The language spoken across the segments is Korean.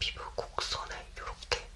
피부 곡선을 이렇게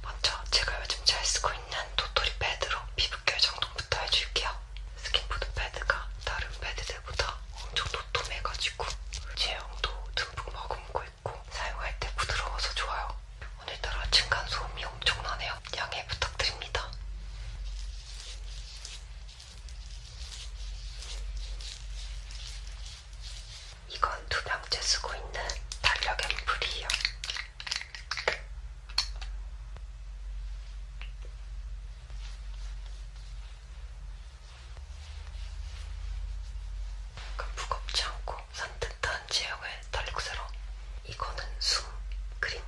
먼저 제가 요즘 잘 쓰고 있는 도토리 패드로 피부결 정돈부터 해줄게요. 스킨푸드 패드가 다른 패드들보다 엄청 도톰해가지고 제형도 듬뿍 머금고 있고 사용할 때 부드러워서 좋아요. 오늘따라 층간 소음이 엄청나네요. 양해 부탁드립니다. 이건 두 명째 쓰고 있는 달력 앰플이에요. 그러니까 무겁지 않고 산뜻한 제형의 달력새로 이거는 숨 그림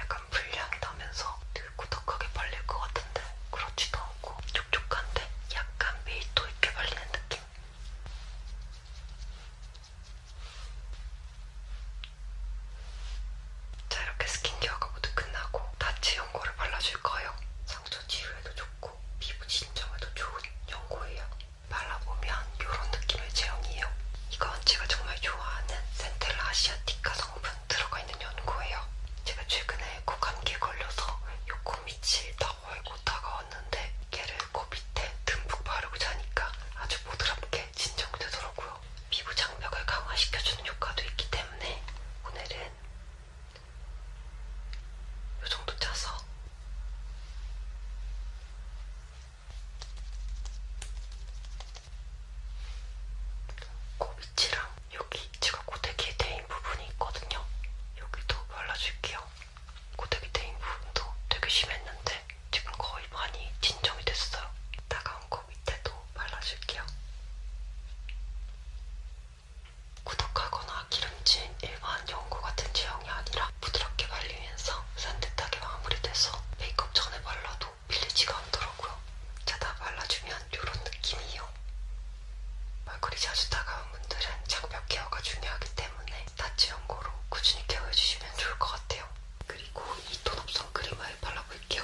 약간 불량하면서 되게 꾸덕하게 발릴 것 같은 같은데 그렇지도 않고 촉촉한데 약간 밀도 있게 발리는 느낌? 자 이렇게 스킨케어가 모두 끝나고 다치 연고를 발라줄 거예요. 상처 치유에도 좋고 피부 진정에도 좋은 연고예요. 발라보면 이런 느낌의 제형이에요. 이건 제가 정말 좋아하는 센텔라 아시아티카 성분 들어가 있는 연고예요. 제가 최근에 아이고 감기 걸려서 요코 밑이 다고이고 다가왔는데 걔를 코 밑에 듬뿍 바르고 자니까 아주 보드랍게 진정되더라고요. 피부 장벽을 강화시켜주는 효과도 있기 때문에 오늘은 요 정도 짜서 코 끝이랑 여기 제가 고데기에 대인 부분이 있거든요. 여기도 발라줄게요. 고데기 대인 부분도 되게 심했는데 지금 거의 많이 진정이 됐어요. 따가운 거 밑에도 발라줄게요. 구독하거나 기름진 일반 연고 같은 제형이 아니라 부드럽게 발리면서 산뜻하게 마무리돼서 메이크업 전에 발라도 밀리지가 않더라고요. 자다 발라주면 이런 느낌이에요. 얼굴이 자주 따가운 분들은 장벽 케어가 중요하기 때문에 나치 연고로 꾸준히 케어해주시면 좋을 것 같아요. 그리고 이톤 없던 크림을 발라볼게요.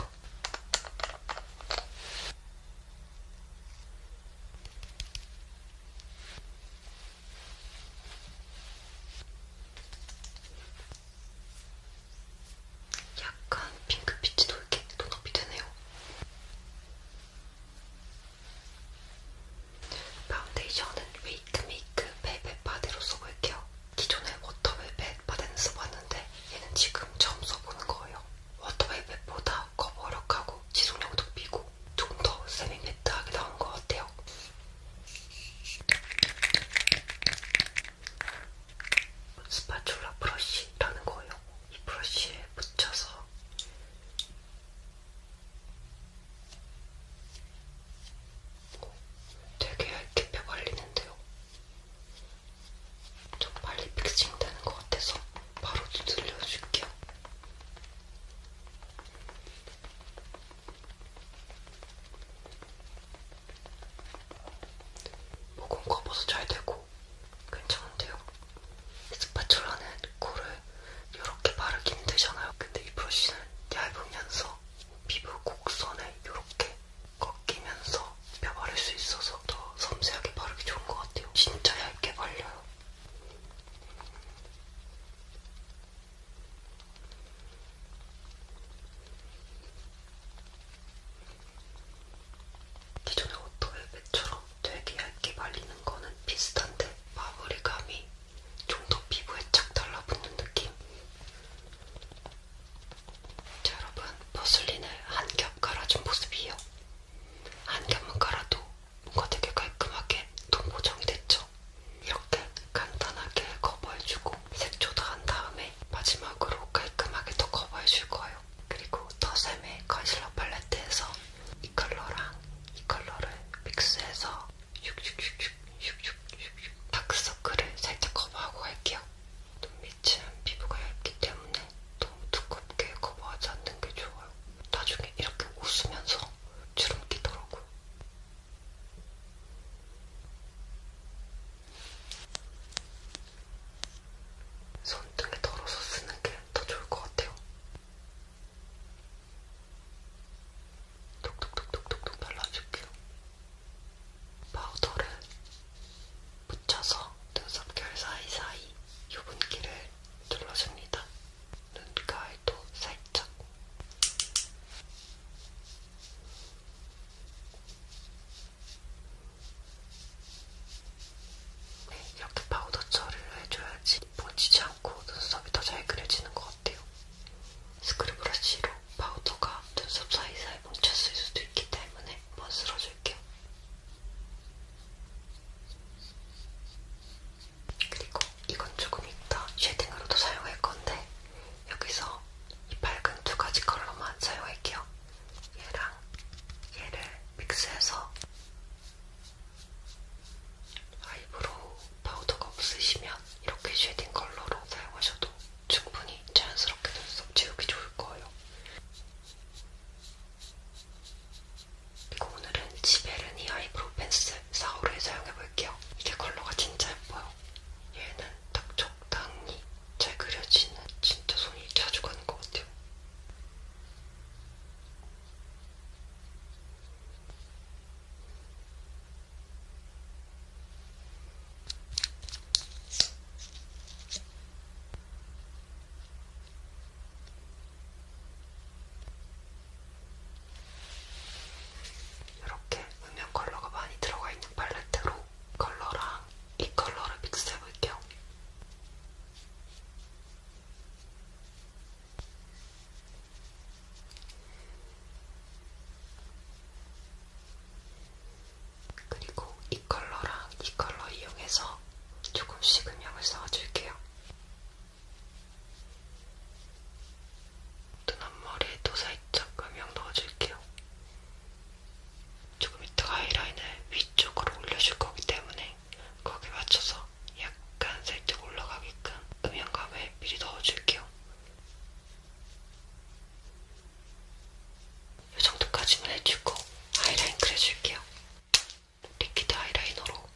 약간 핑크빛이 돌게 톤업이 되네요. 파운데이션은 웨이크 메이크 벨벳 바디로 써볼게요. 기존에 워터 벨벳 바디는 써봤는데 얘는 지금 처음 써보는 거예요. 워터 벨벳보다 커버력하고 지속력도 비고 좀더 세미매트하게 나온 것 같아요. 스파츌라 브러쉬라는 거예요. 이 브러쉬에 붙여서 되게 얇게 펴발리는데요. 좀 빨리 픽싱 되는 것 같아서 바로 두들려줄게요. 모공 커버도 잘 되고 괜찮은데요? 스파츌라는 코를 이렇게 바르기 힘들잖아요. 근데 이 브러쉬는 얇으면서 피부 곡선에 이렇게 꺾이면서 펴 바를 수 있어서 더 섬세하게 바르기 좋은 것 같아요. 진짜 얇게 발려요. 기존의 오토웰벳처럼 되게 얇게 말리는 거는 비슷한데 마무리감이 좀 더 피부에 착 달라붙는 느낌. 자, 여러분 포슬린을 한 겹 깔아준 모습이에요. 한 겹만 깔아도 뭔가 되게 깔끔하게 톤 보정이 됐죠. 이렇게 간단하게 커버해주고 색조도 한 다음에 마지막으로 깔끔하게 더 커버해줄 거예요. 그리고 더샘의 컨실러 팔레트에서 이 컬러랑 이 컬러를 믹스해서 슉슉슉슉슉슉슉 다크서클을 살짝 커버하고 갈게요. 눈밑은 피부가 얇기 때문에 너무 두껍게 커버하지 않는 게 좋아요. 나중에 이렇게 웃으면서 주름 끼더라고요. 손등에 덜어서 쓰는 게 더 좋을 것 같아요. 톡톡톡톡톡 발라줄게요. 파우더를 묻혀서 눈썹결 사이사이 유분기를 둘러줍니다. 눈가에도 살짝. 이렇게 파우더 처리를 해줘야지 번지지 않고 눈썹이 더 잘 그려지는 것 같아요. 스크류 브러쉬로 파우더가 눈썹 사이사이 뭉쳤을 수도 있기 때문에 한번 쓸어줄게요. 그리고 이건 조금 이따 쉐딩으로도 사용할 건데 여기서 이 밝은 두 가지 컬러만 사용할게요. 얘랑 얘를 믹스해서 아이브로우 파우더가 없으시면 이렇게 쉐딩 컬러로 사용하셔도 충분히 자연스럽게 눈썹 지우기 좋을 거예요. 그리고 오늘은 지베르니 아이브로우 펜슬 4호를 사용해 볼게요. 이게 컬러가 진짜 예뻐요. 얘는 딱 적당히 잘 그려지는 진짜 손이 자주 가는 것 같아요. 이렇게 음영 컬러가 많이 들어가 있는 팔레트로 컬러랑 이 컬러를 믹스해볼게요. 그리고 이 컬러랑 이 컬러 이용해서 조금씩 음영을 쌓아줄게요. 눈앞머리에도 살짝 음영 넣어줄게요. 조금 이따가 아이라인을 위쪽으로 올려줄 거기 때문에 거기에 맞춰서 약간 살짝 올라가게끔 음영감을 미리 넣어줄게요. 이 정도까지만 해주고 아이라인 그려줄게요. 리퀴드 아이라이너로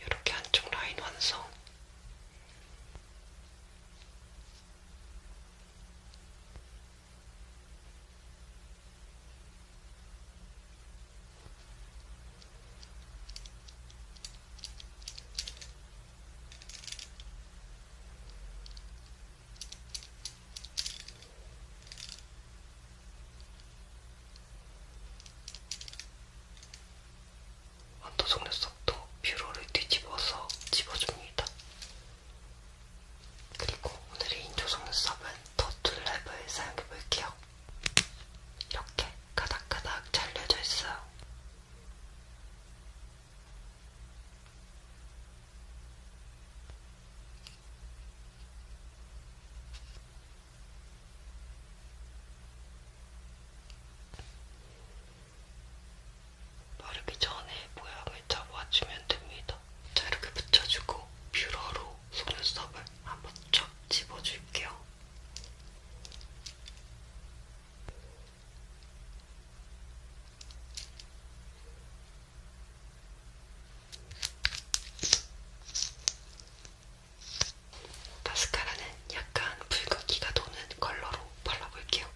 이렇게 한쪽 라인 완성. 언더 속눈 속도 뷰러를 뒤집어서 집어줍니다. 그리고 오늘의 인조 속눈썹은 더툴 랩을 사용해볼게요. 이렇게 가닥가닥 잘려져 있어요. 바르기 전에 모양을 잡아주면 됩니다. 자, 이렇게 붙여주고 뷰러로 속눈썹을 한번 쫙 집어줄게요. 마스카라는 약간 붉은기가 도는 컬러로 발라볼게요.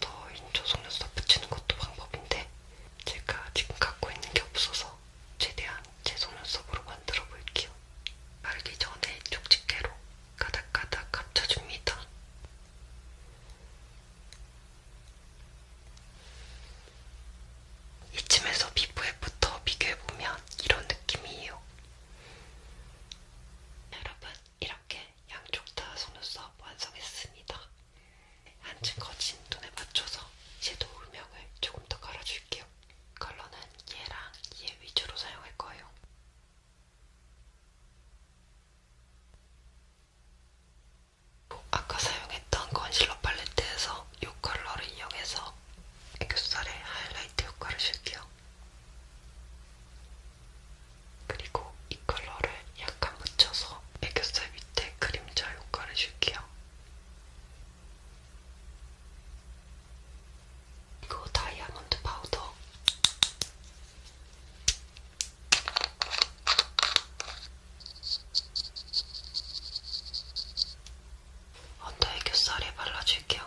더인초 속눈썹 붙이는 것도 방법인데 제가 지금 갖고 있는 게 없어서 최대한 제 속눈썹으로 만들어 볼게요. 말기 전에 쪽집게로 가닥가닥 감춰줍니다. 이쯤에서 피부에부터 비교해보면 이런 느낌이에요. 여러분, 이렇게 양쪽 다 속눈썹 완성했습니다. 한층 거친 눈에 맞춰서 섀도우 음영을 조금 더 깔아줄게요. 컬러는 얘랑 얘 위주로 사용할 거예요. 아까 사용했던 컨실러 팔레트에서 이 컬러를 이용해서 애교살에 하이라이트 효과를 줄게요. 그리고 이 컬러를 약간 묻혀서 애교살 밑에 그림자 효과를 줄게요. 그리고 다이아몬드 파우더. 언더 애교살에 발라줄게요.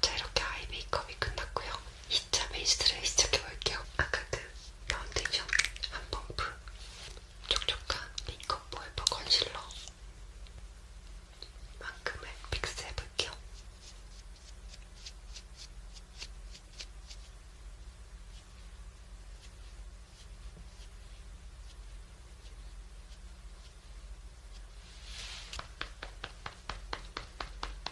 자 이렇게 아이 메이크업이 끝났고요 2차 베이스를 시작해볼게요 아까 그 파운데이션 한 펌프 촉촉한 메이크업 보이버 컨실러 만큼을 픽스해볼게요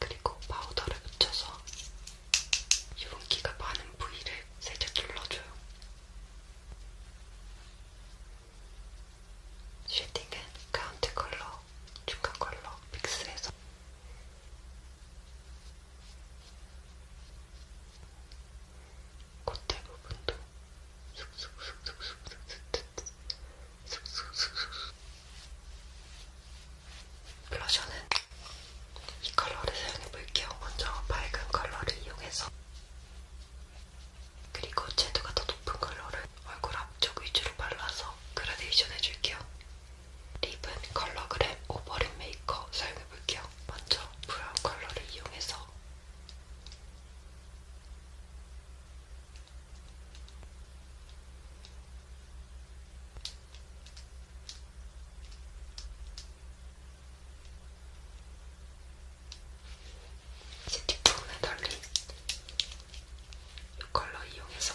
그리고 파우더를 묻혀서 유분기가 많은 부위를 살짝 눌러줘요. 쉐딩은 가운데 컬러, 중간 컬러 믹스해서 겉에 부분도 슥슥슥슥슥슥슥슥슥슥 블러셔는 이 컬러를 사용해 볼게요. 먼저 밝은 컬러를 이용해서 그리고 채도가 더 높은 컬러를 얼굴 앞쪽 위주로 발라서 그라데이션 해줄게요. 리븐 컬러그램 오버립 메이커 사용해볼게요. 먼저 브라운 컬러를 이용해서 시티폼에 달린 이 컬러 이용해서